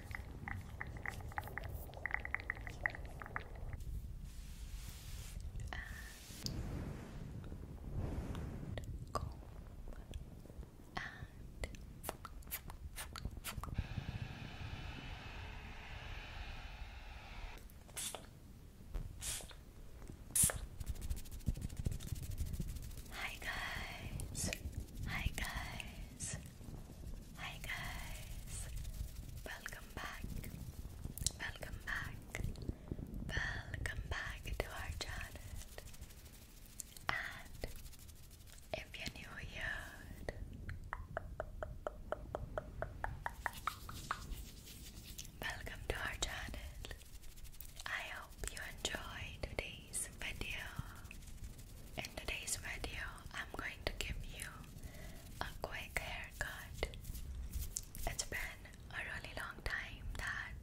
and comb and Hi guys, hi guys, Hi guys, welcome back, welcome back, welcome back to our channel. And if you're new here, welcome to our channel. I hope you enjoy today's video. In today's video, I'm going to give you a quick haircut. It's been a really long time that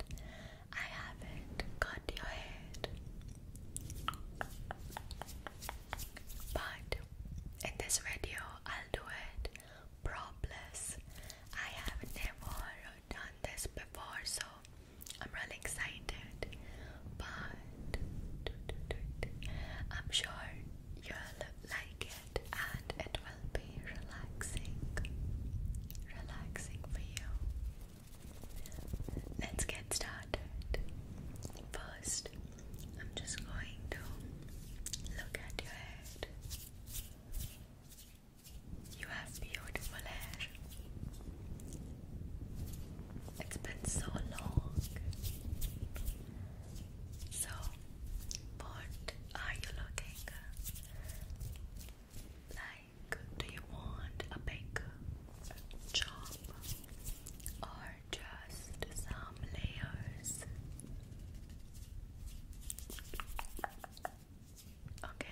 I haven't cut your head. But in this video, I'll do it propless. I have never done this before, so I'm really excited. But I'm sure you'll like it and it will be relaxing, relaxing for you. Let's get started. First, I'm just going to look at your head. You have beautiful hair. It's been so long. So, what are you looking like? Do you want a big chop or just some layers? Okay,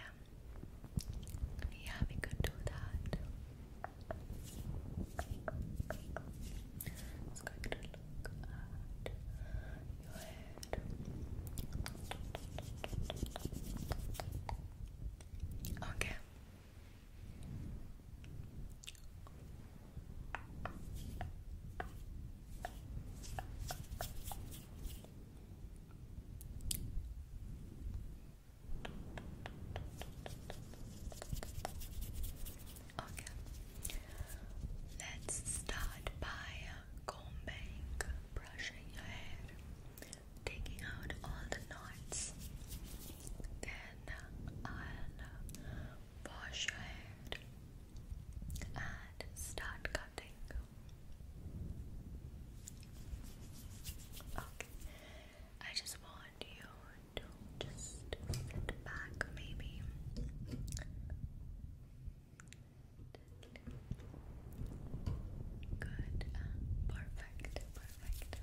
yeah, we could do that let It's going to look at your head. Okay. Okay. Let's start by uh, combing, brushing your hair, taking out all the knots. Then uh, I'll uh, wash your hair and start cutting. Okay. I just want want you back, maybe. Good. perfect. Perfect.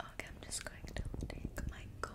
Okay, I'm just going to take my comb.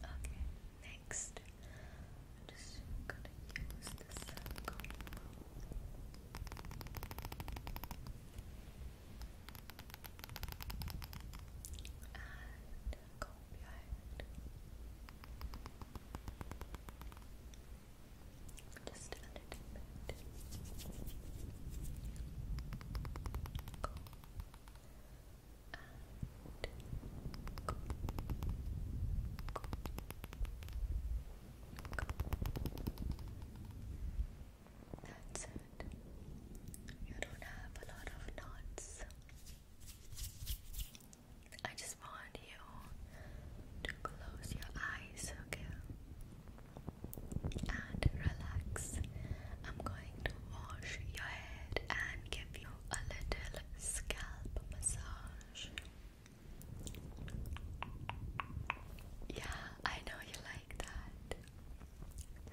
Okay, next I'm just gonna use the circle. And comb your head. Just under it. Go. And go. Go. Go. That's it. You don't have a lot of knots. I just want you to close your eyes, okay? And relax. I'm going to wash your head and give you a little scalp massage. Yeah, I know you like that.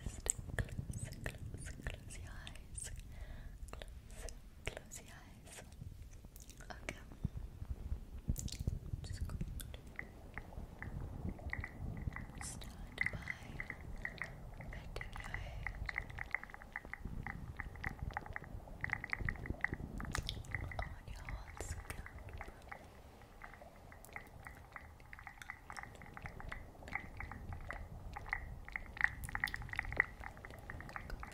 Just close, close, close your eyes. Close, close your eyes eyes. Okay. by petting your head. On your whole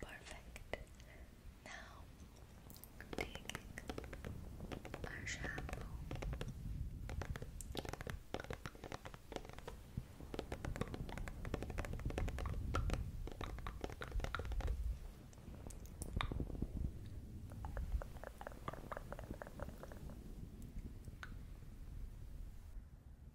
Perfect. Now, taking our shampoo.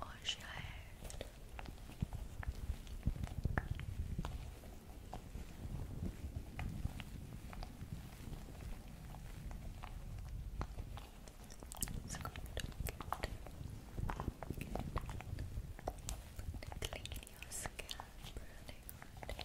Wash your head. It's good. Good. Good. your scalp, really good.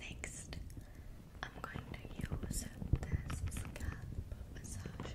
Next, I'm going to use this scalp massager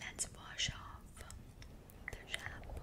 Let's wash off the shampoo.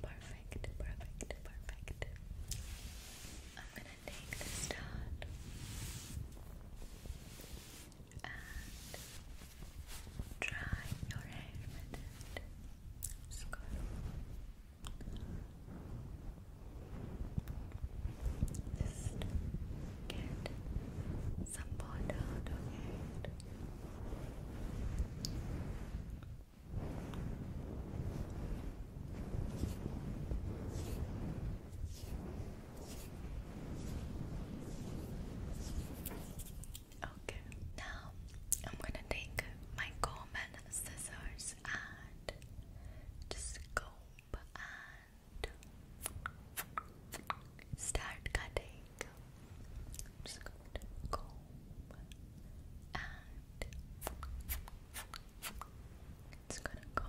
Perfect, perfect, perfect. I'm gonna take this dot and dry your hair with it. just get some water out it. Okay, now I'm gonna take my comb and scissors and comb and start cutting. i it's gonna go and comb.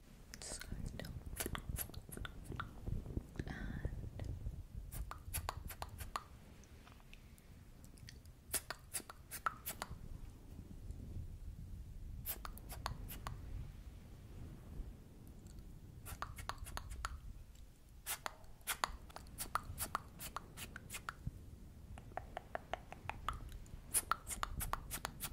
scarf down and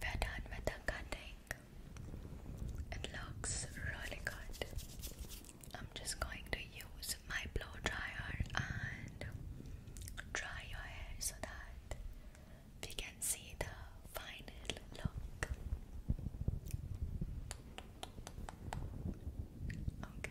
We're done with the cutting. It looks really good. I'm just going to use my blow dryer and dry your hair so that we can see the final look. Okay.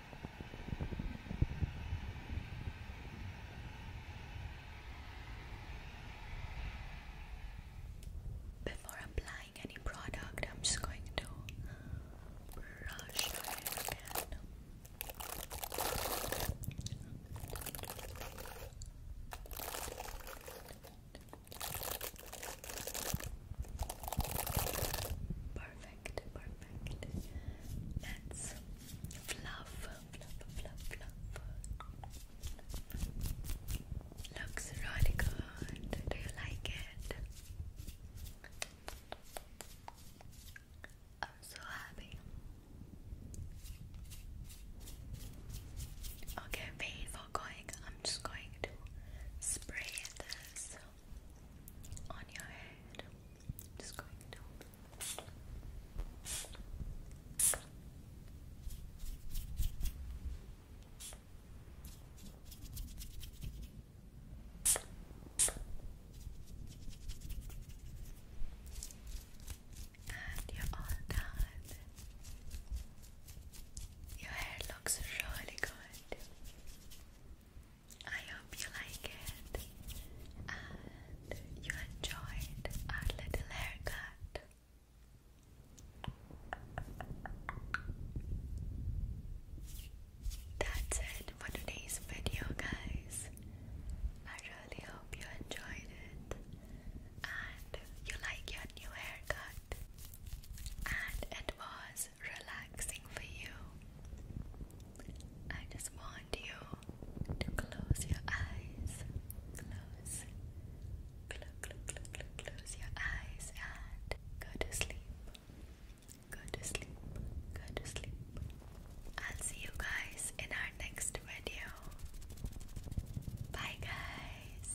Before applying any product, I'm just going to brush it again. Perfect perfect, perfect. Let's fluff, fluff, fluff, fluff. Looks really good. Do you like it? I'm so happy. Okay, wait going. I'm just going to spray this on your head. just going to and you're all done. Your hair looks really good. I hope you like it and you enjoyed our little haircut. That's it for today's video, guys. I really hope you enjoyed it and you like your new haircut. And it was relaxing for you. I just want you to close your eyes. Close. Close, close, close, your eyes and go to sleep. Go to sleep. Go to sleep. I'll see you guys in our next video. Bye, guys.